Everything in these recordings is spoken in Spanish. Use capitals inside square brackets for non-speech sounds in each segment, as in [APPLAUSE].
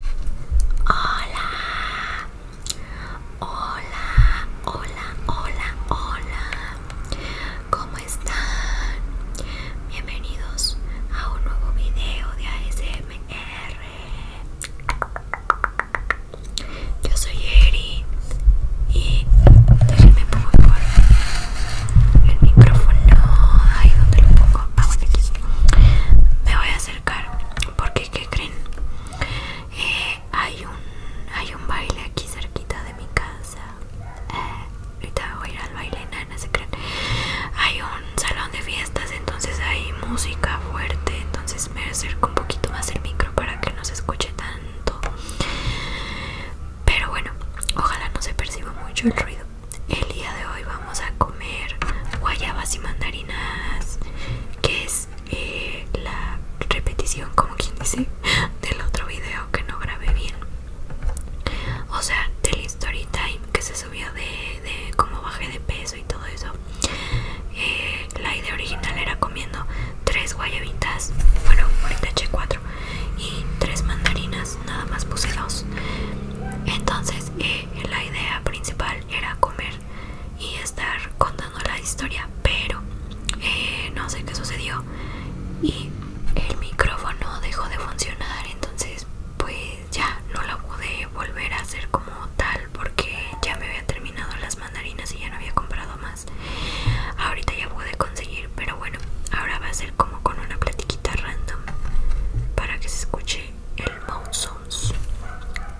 Hola, hola, hola, hola, hola. ¿Cómo están? Bienvenidos a un nuevo video de ASMR. Yo soy Eri y déjenme pongo el micrófono. Ay, dónde lo pongo. Ah, Me voy a hacer porque qué creen eh, hay un baile aquí cerquita de mi casa eh, ahorita voy a al baile nada se creen hay un salón de fiestas entonces hay música fuerte entonces me acerco un poquito más el micro para que no se escuche tanto pero bueno ojalá no se perciba mucho el ruido el día de hoy vamos a comer guayabas y mandarinas, que es eh, la repetición, como quien dice, del otro video que no grabé bien. O sea, del story time que se subió de, de cómo bajé de peso y todo eso. Eh, la idea original era comiendo tres guayabitas, bueno, ahorita H4 y tres mandarinas, nada más puse dos. Entonces, eh, la idea principal era comer y estar contando la historia pero eh, no sé qué sucedió y el micrófono dejó de funcionar entonces pues ya no la pude volver a hacer como tal porque ya me había terminado las mandarinas y ya no había comprado más ahorita ya pude conseguir pero bueno ahora va a ser como con una platiquita random para que se escuche el mouse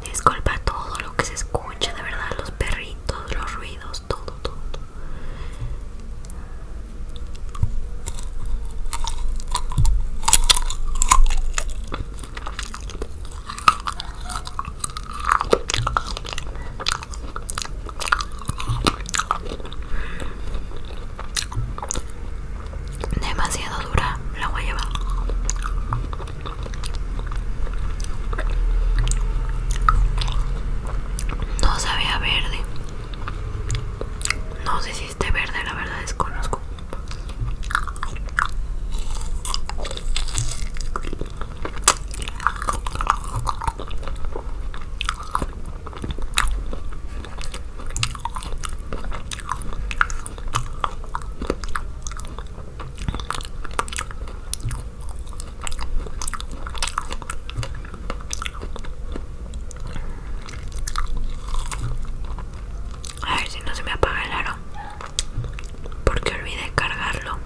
Disculpa todo lo que se escucha, de verdad, los perritos, los ruidos, todo, todo demasiado dura la guayaba no sabía verde no sé si esté verde la verdad desconozco a ver si no se me apaga el aro. Porque olvidé cargarlo.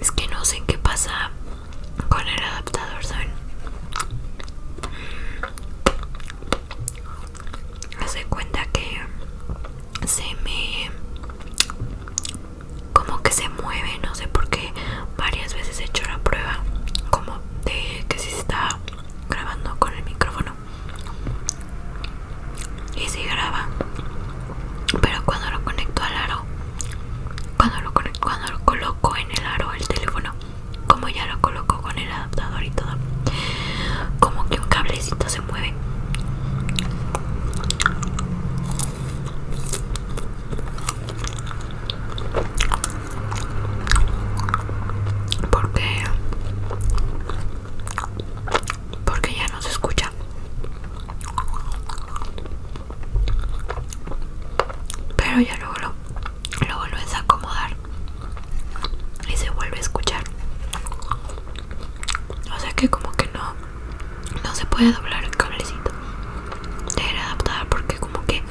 Es que no sé qué pasa con el adaptador, ¿saben? hace cuenta que se me como que se mueve no sé por qué varias veces he hecho la prueba como de que si está grabando con el micrófono y si graba pero cuando lo conecto al aro cuando lo, cuando lo coloco en el aro el teléfono como ya lo coloco con el adaptador y todo como que un cablecito se mueve porque porque ya no se escucha pero ya luego lo lo vuelves a acomodar y se vuelve a escuchar. O sea que como que no no se puede doblar el cablecito. Debe adaptar porque como que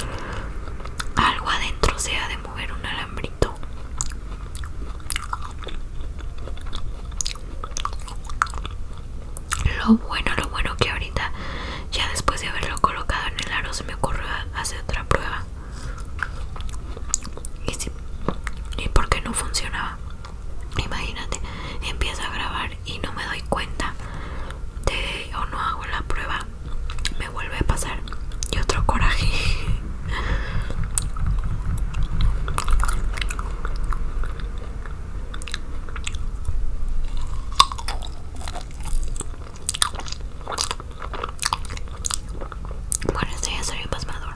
algo adentro se ha de mover un alambrito. Lo bueno, lo bueno que ahorita ya después de haberlo colocado en el aro se me ocurrió hacer otra prueba. Y, por qué porque no funcionaba. Imagínate, empiezo a grabar y no me doy cuenta de o no hago la prueba. Me vuelve a pasar. Y otro coraje. Bueno, esto ya sería pasmador.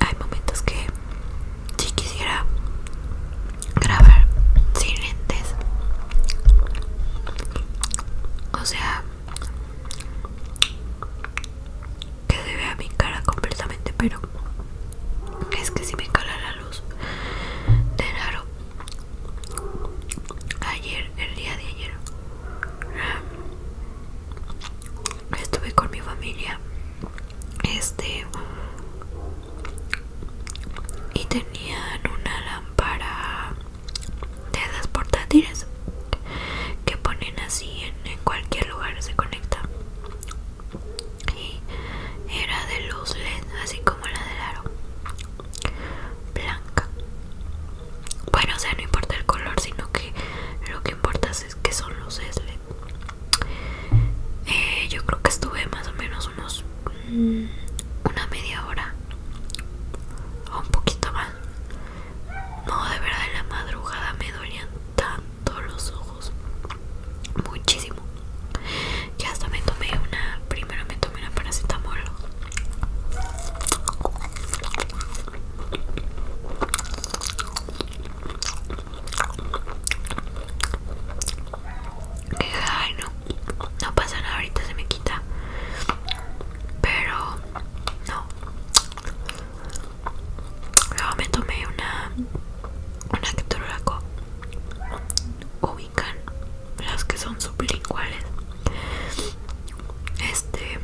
hay momentos que si quisiera grabar sin lentes o sea que se vea mi cara completamente pero es que si me cala la luz de raro ayer el día de ayer estuve con mi familia este y tenían una lámpara de esas portátiles que ponen así en, cualquier lugar se conecta y era de luz led así como la del aro blanca bueno o sea no importa el color sino que lo que importa es que son luces led eh, yo creo que estuve más o menos unos mm, una media hora o un poquito más no de verdad en la madrugada me dolían tanto los ojos muchísimo Ya hasta me tomé una primero me tomé una paracetamol Ay, no, no pasa nada, ahorita se me quita. Pero no. Luego me tomé una una ketorolaco. Ubican las que son sublinguales. Este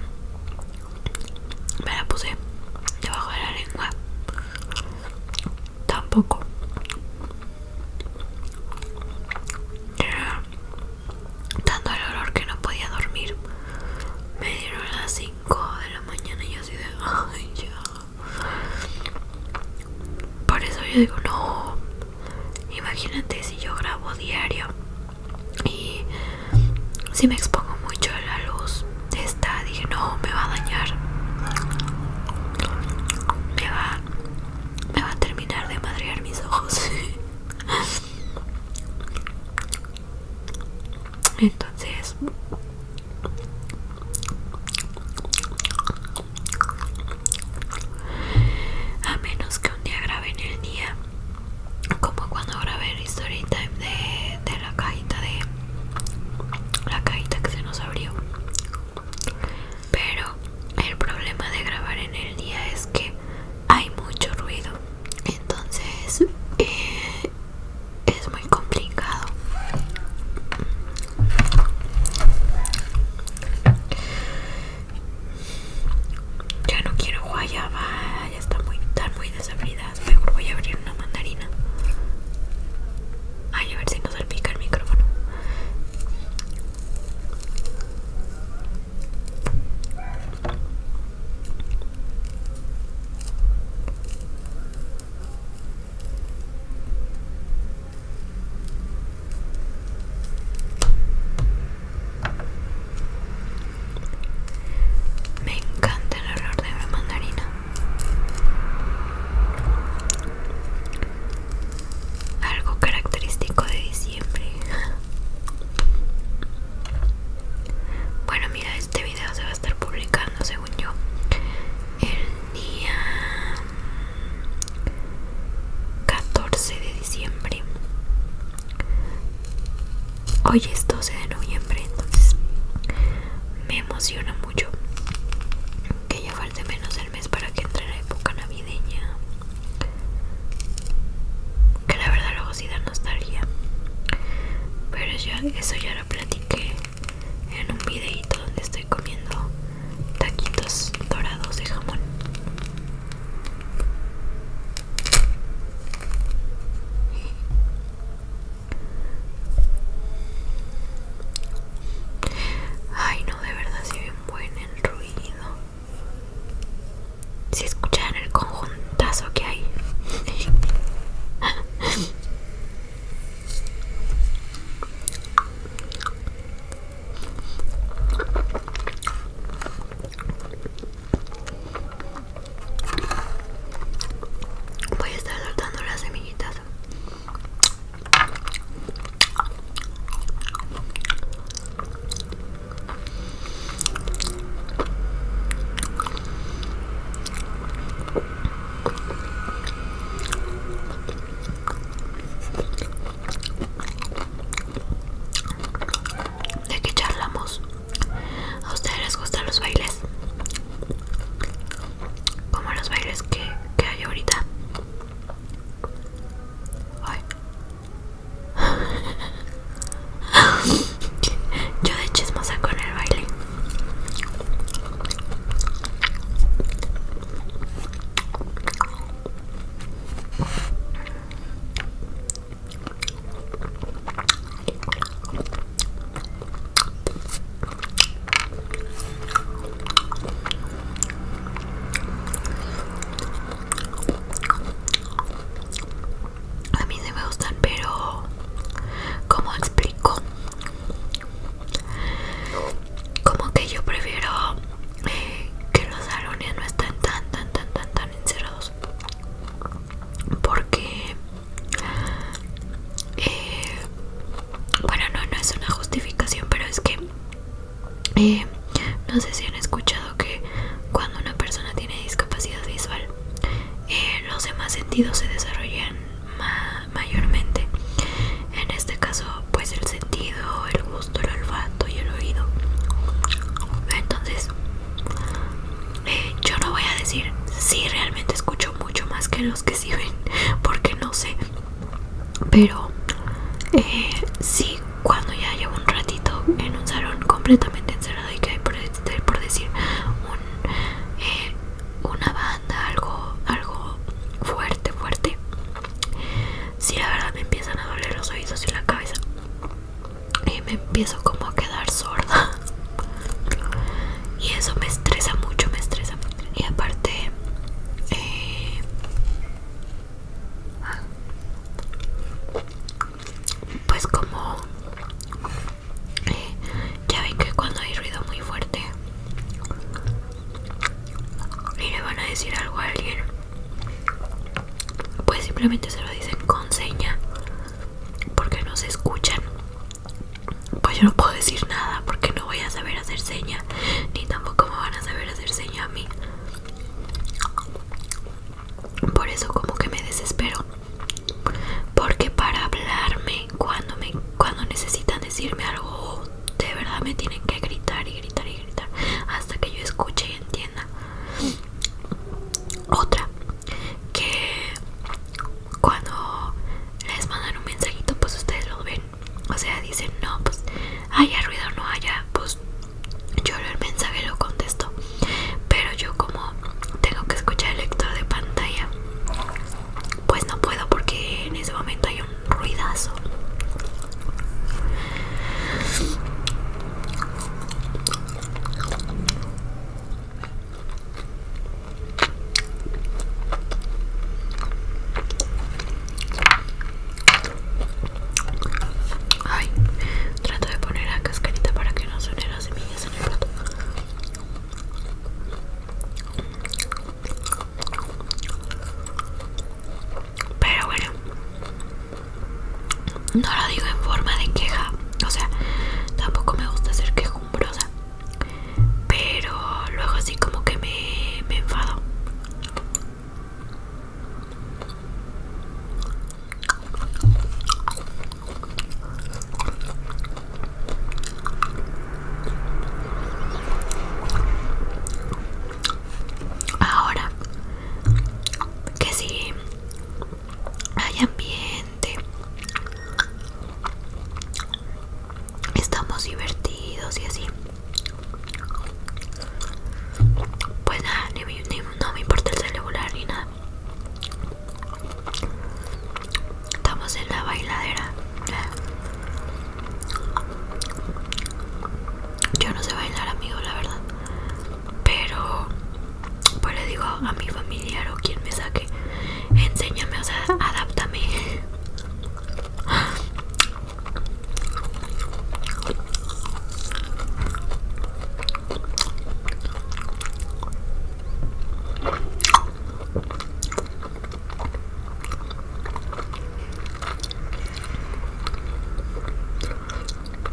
me la puse debajo de la lengua tampoco Era tanto el olor que no podía dormir me dieron las 5 de la mañana y yo así de ay por eso yo digo no imagínate si yo grabo diario y si me expongo mucho a la luz de esta dije no me va a dañar me va a terminar de madrear mis ojos [LAUGHS] entonces a menos que un día grave en el día como cuando grabé el story time de, la cajita de la cajita que se nos abrió pero el problema de grabar en el día es que hay mucho ruido entonces eh, es muy complicado ya no quiero guayaba ya está muy muy desabrida mejor voy a abrir una mandarina. Ay, a ver si no salpica el micrófono. Me encanta el olor de una mandarina. Algo característico de diciembre. [LAUGHS] Bueno, mira, este video se va a estar publicando, según yo, el día 14 de diciembre. Hoy es 12 de noviembre, entonces me emociona mucho que ya falte menos del mes para que entre la época navideña. Que la verdad luego sí da nostalgia. Pero eso ya lo platiqué en un videito donde estoy comiendo taquitos dorados de jamón. Ay, no, de verdad se ve buen el ruido. Si escuchan el conjuntazo que hay. Voy a estar soltando las semillitas. ¿De qué charlamos? ¿A ustedes les gustan los bailes? Como los bailes que, hay ahorita. [LAUGHS] Yo de chismosa con el baile. A mí me gustan, pero como explico, como que yo prefiero eh, que los arones no estén tan, tan, tan, tan, tan encerrados porque eh, bueno no no es una justificación pero es que eh, no sé si han escuchado que cuando una persona tiene discapacidad visual eh, los demás sentidos se desarrollan mayormente en este caso pues el sentido el gusto el olfato y el oído entonces yo no voy a decir si realmente escucho mucho más que los que sí ven, porque no sé. Pero si eh, sí, cuando ya llevo un ratito en un salón completamente encerrado y que hay por, decir eh, una banda, algo, algo fuerte, fuerte, si la verdad me empiezan a doler los oídos y la cabeza y me empiezo como a quedar sorda y eso me estresa mucho me estresa mucho. y aparte eh, pues como eh, ya ven que cuando hay ruido muy fuerte y le van a decir algo a alguien pues simplemente se lo dicen con seña porque no se escuchan pues yo no puedo decir nada porque no voy a saber hacer seña ni tampoco me van a saber hacer seña a mí por eso como que me desespero porque para hablarme cuando me cuando necesitan decirme algo de verdad me tienen que gritar y gritar y gritar hasta que yo escuche y entienda otra, que cuando les mandan un mensajito, pues ustedes lo ven. O sea, dicen, no, pues haya ruido no haya, pues yo el mensaje lo contesto. Pero yo como tengo que escuchar el lector de pantalla, pues no puedo porque en ese momento hay un ruidazo. Ay, trato de poner la cascarita para que no suene las semillas en el plato. Pero bueno, no lo digo en forma de queja, o sea, tampoco me gusta ser quejumbrosa, pero luego así como que me, enfado. Ahora, que si hay ambiente, estamos divertidos y así. Pues nada, ni, no me importa el celular ni nada. Estamos en la bailadera. Yo no sé bailar, amigo, la verdad pero pues le digo a mi familiar o quien me saque enséñame o sea adáptame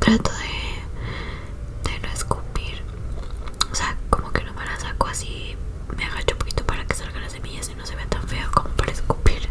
Trato de, no escupir. O sea, como que no me la saco así. Me agacho un poquito para que salgan las semillas y no se vea tan feo como para escupir.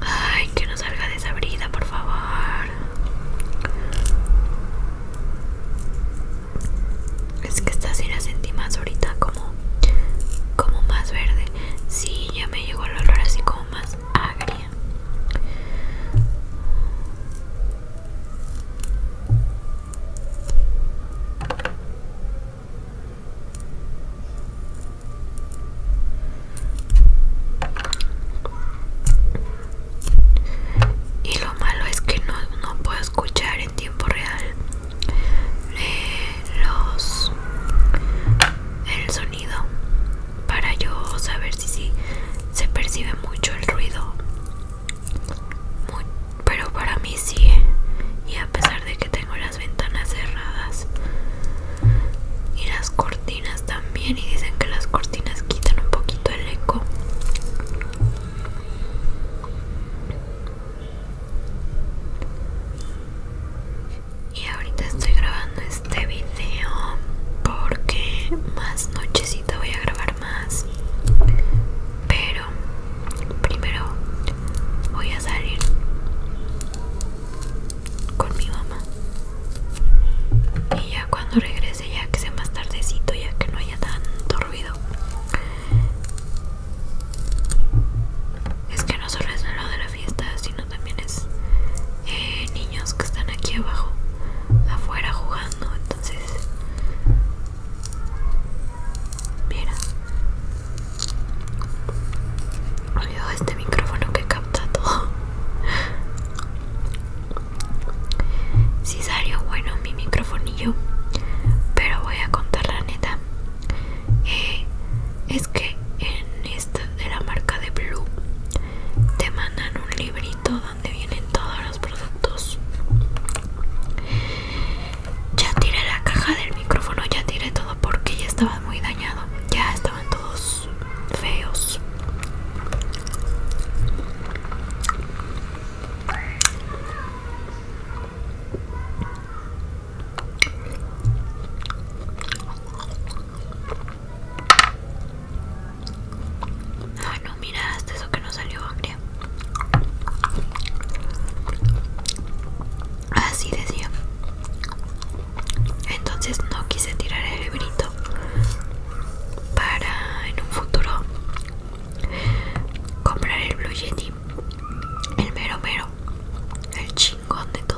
Ay, que no salga desabrida, por favor. Es que esta sí la sentí más ahorita como como más verde. Sí, ya me llegó el olor así como más agria. Y lo malo es que no, puedo escuchar en tiempo real los el sonido para yo saber si se percibe mucho el ruido. pero para mí sí, ¿eh? y a pesar de que tengo la las ventanas cerradas y las cortinas también y dicen que las cortinas quitan un poquito el eco y ahorita estoy grabando este video porque más nochecita voy a grabar más pero primero voy a salir con mi mamá. Y ya cuando regrese, ya que sea más tardecito, ya que no haya tanto ruido. Es que no solo es lo de la fiesta, sino también es eh, niños que están aquí abajo, afuera jugando. Entonces, mira, Olvidó este micrófono que capta todo. Si salió bueno mi microfonillo, pero voy a contar la neta. Eh, es que en esta de la marca de Blue te mandan un librito donde vienen todos los productos. Ya tiré la caja del micrófono, ya tiré todo porque ya estaba muy dañado. Ya todos feos. Ah no, mira, hasta eso que no salió hambre. Así decía entonces no quise tirar el librito para en un futuro comprar el Blue Yeti, el mero mero, el chingón de todo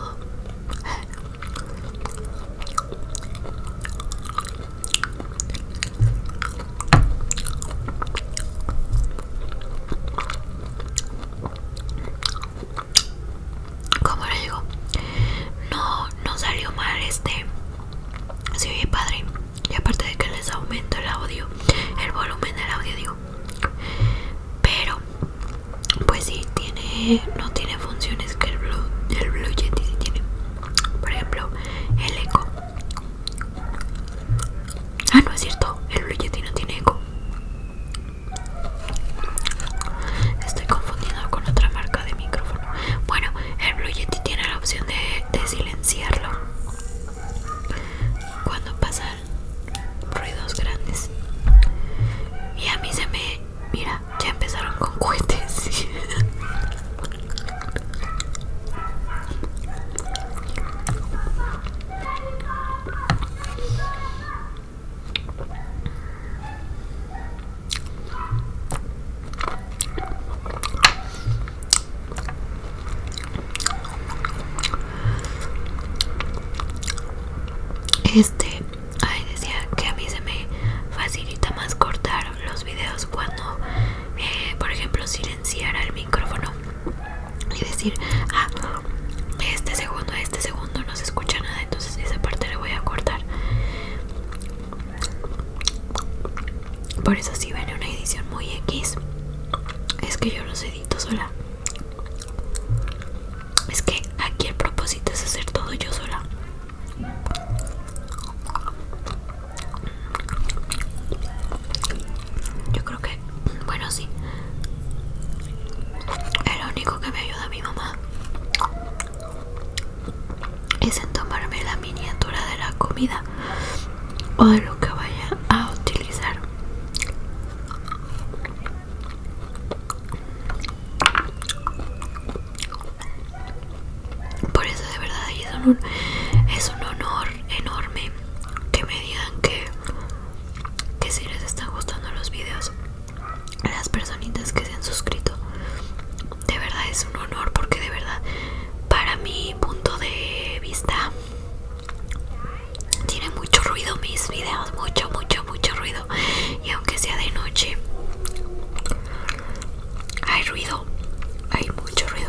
como le digo no no salió mal este se oye padre y aparte de que les aumento el audio el volumen del audio digo pero pues sí tiene no tiene funciones que el blue el blue yeti tiene por ejemplo el eco ah no es cierto el blue yeti no tiene eco Estoy confundido con otra marca de micrófono. Bueno, el Blue Yeti tiene la opción de, de silenciarlo cuando pasan ruidos grandes. Y a mí se me. Mira, ya empezaron con cohetes. [LAUGHS] Este, ay decía que a mí se me facilita más cortar los videos cuando, eh, por ejemplo, silenciara el micrófono y decir, ah, este segundo, este segundo no se escucha nada, entonces esa parte la voy a cortar. Por eso si viene una edición muy X, es que yo los edito sola. Es que aquí el propósito es hacer todo yo sola. Yo creo que bueno, sí. El único que me ayuda mi mamá es en tomarme la miniatura de la comida o de lo que vaya a utilizar. Por eso de verdad es un, es un honor enorme que me digan que que si les están gustando los videos las personitas que se han suscrito de verdad es un honor porque de verdad para mi punto de vista tiene mucho ruido mis videos mucho mucho mucho ruido y aunque sea de noche hay ruido hay mucho ruido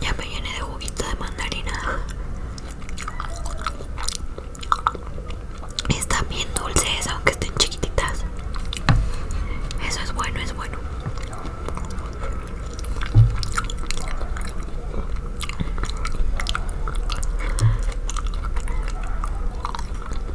Ya me llené de juguito de mandarina. Están bien dulces, aunque estén chiquititas. Eso es bueno, es bueno.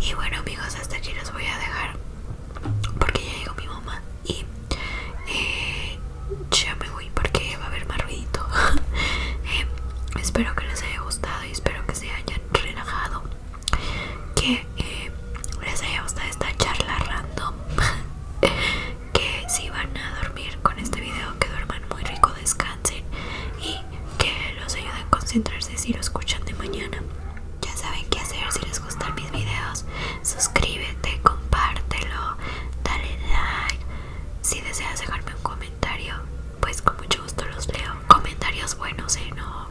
Y bueno amigos, hasta aquí los voy a dejar porque ya llegó mi mamá y eh, ya me voy porque va a haber más ruidito. [LAUGHS] Eh, espero que les haya gustado y espero que se hayan relajado. Que eh, les haya gustado esta charla random. [LAUGHS] que si van a dormir con este video, que duerman muy rico, descanso y que los ayude a concentrarse si lo escuchan de mañana. Ya saben qué hacer si les gustan mis videos. Suscríbete, compártelo, dale like. Si deseas dejarme un comentario, pues con mucho gusto los leo. Comentarios buenos, ¿eh? No.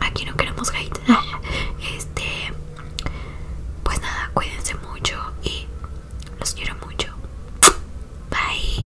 Aquí no queremos hate. [LAUGHS] Este. Pues nada, cuídense mucho y los quiero mucho. Bye.